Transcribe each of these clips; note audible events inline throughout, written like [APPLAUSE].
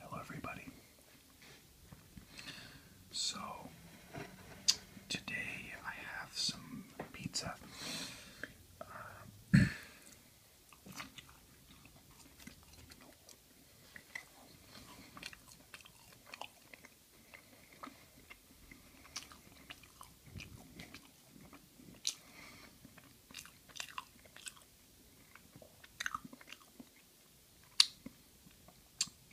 Hello, everybody. So, today I have some pizza. Uh,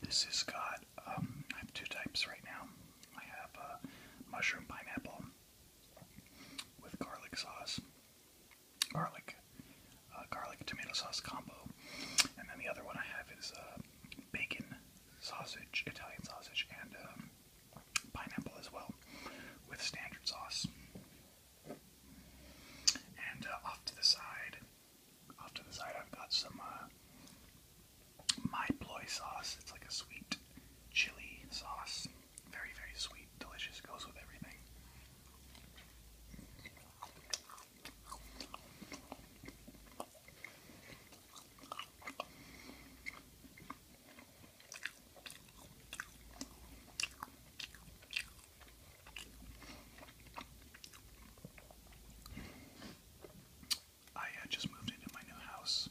this is got, um, I have two types right now. I have uh, mushroom pineapple with garlic sauce, garlic, uh, garlic tomato sauce combo, and then the other one I have is uh, um, bacon sausage, Italian sausage, and um, pineapple as well, with standard sauce. And uh, off to the side, off to the side, I've got some uh, my ploy sauce. It's like a sweet chili sauce, very very sweet, delicious, goes with everything. I uh, just moved into my new house.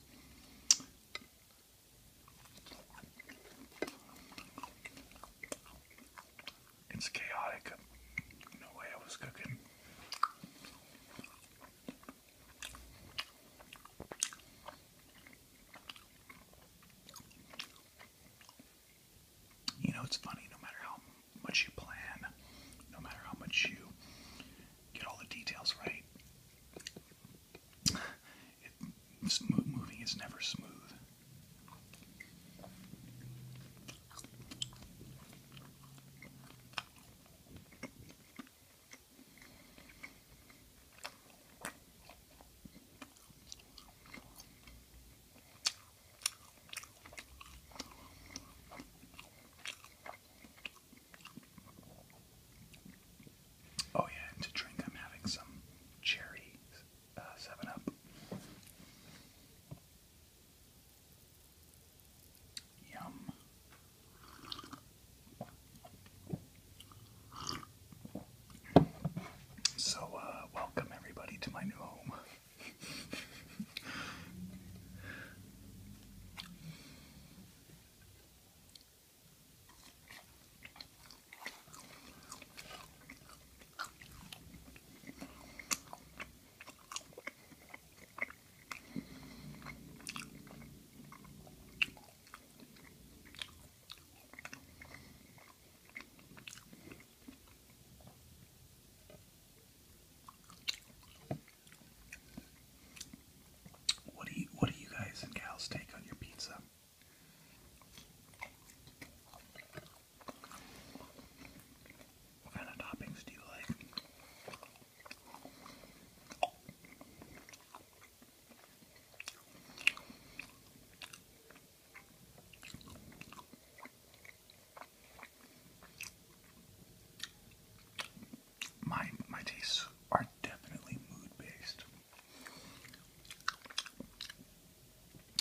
It's chaotic. No way I was cooking. You know, it's funny, no matter how much you plan, no matter how much you get all the details right, it, moving is never smooth. Oh, yeah, and to drink, I'm having some cherry 7-Up. Uh, Yum. So, uh, welcome everybody to my new home. What do you what do you guys and gals take on your pizza? What kind of toppings do you like? My my tastes are definitely mood based.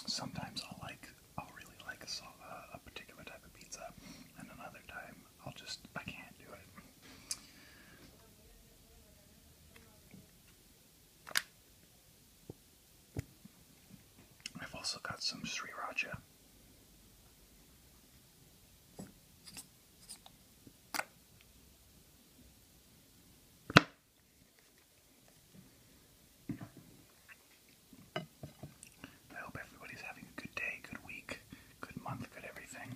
Sometimes i like I'll really like a, particular type of pizza, and another time I'll just I can't do it. I've also got some Sri Raja. I hope everybody's having a good day, good week, good month, good everything.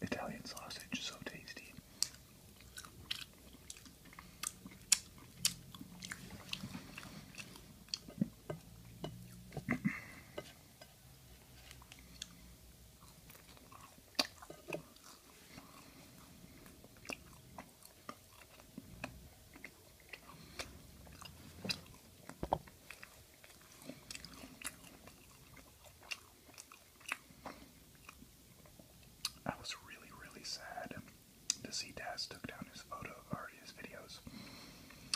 Italian sausage, so tasty. I was really, really sad to see Daz took down his photo or his videos.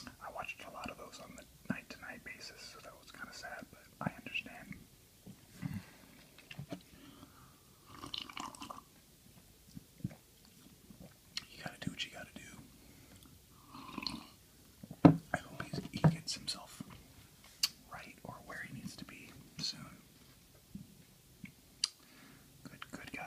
I watched a lot of those on the night to night basis, so that was kind of sad, but I understand. You gotta do what you gotta do. I hope he gets himself right or where he needs to be soon. Good, good guy.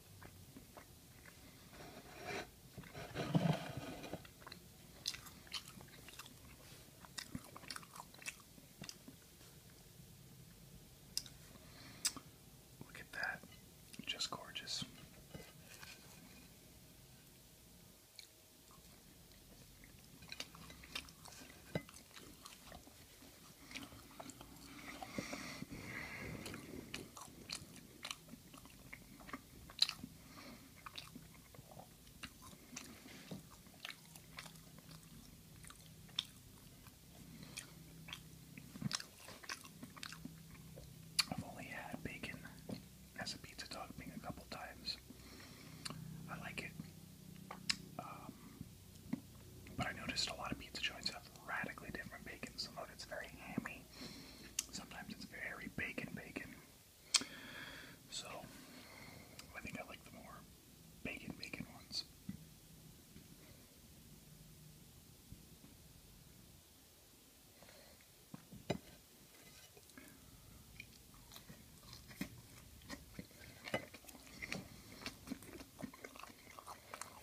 Look at that. Just gorgeous. I've only had bacon as a pizza topping a couple times. I like it. Um, but I noticed a lot of pizza joints have radically different bacon. Some of it's very hammy. Sometimes it's very bacon bacon. So I think I like the more bacon bacon ones.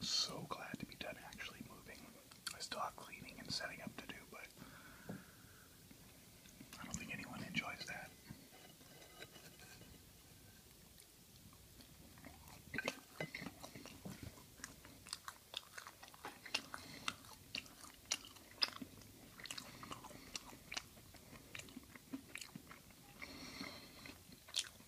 So glad to be done actually moving. I still have cleaning and setting up to do, but I don't think anyone enjoys that.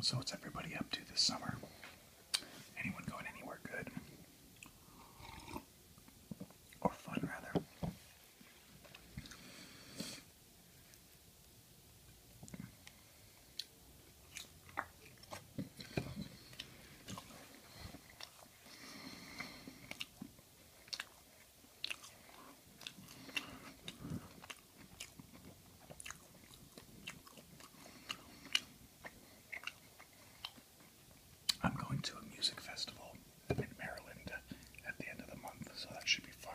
So, what's everybody up to this summer? Anyone going anywhere good? Or fun, rather. I'm going to a music festival in Maryland at the end of the month, so that should be fun.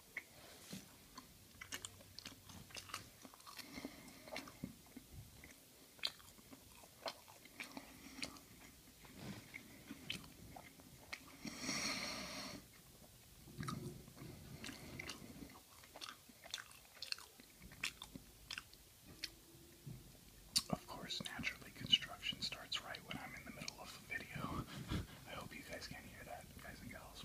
Of course, naturally, construction starts right when I'm in the middle of the video. [LAUGHS] I hope you guys can hear that, guys and gals.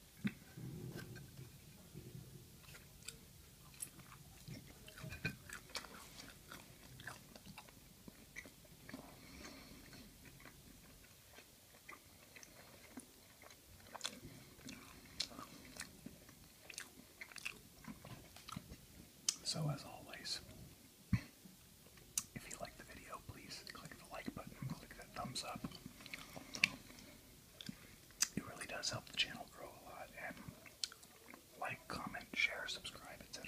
So as always, if you like the video, please click the like button, click that thumbs up. It really does help the channel grow a lot. And like, comment, share, subscribe, etc.